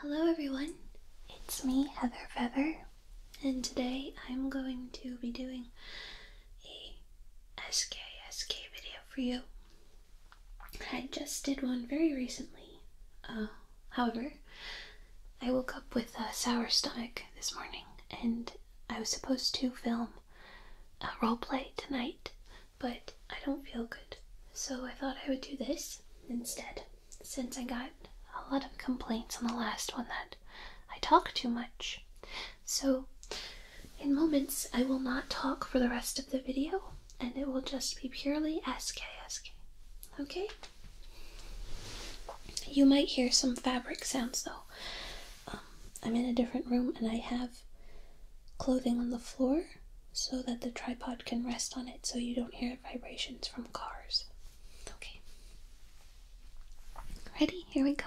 Hello everyone, it's me Heather Feather, and today I'm going to be doing a SKSK video for you. I just did one very recently. Um, However, I woke up with a sour stomach this morning, and I was supposed to film a role play tonight, but I don't feel good. So I thought I would do this instead, since I got a lot of complaints on the last one that I talk too much. So, in moments, I will not talk for the rest of the video, and it will just be purely SKSK. Okay? You might hear some fabric sounds though. I'm in a different room and I have clothing on the floor so that the tripod can rest on it so you don't hear vibrations from cars. Okay. Ready? Here we go.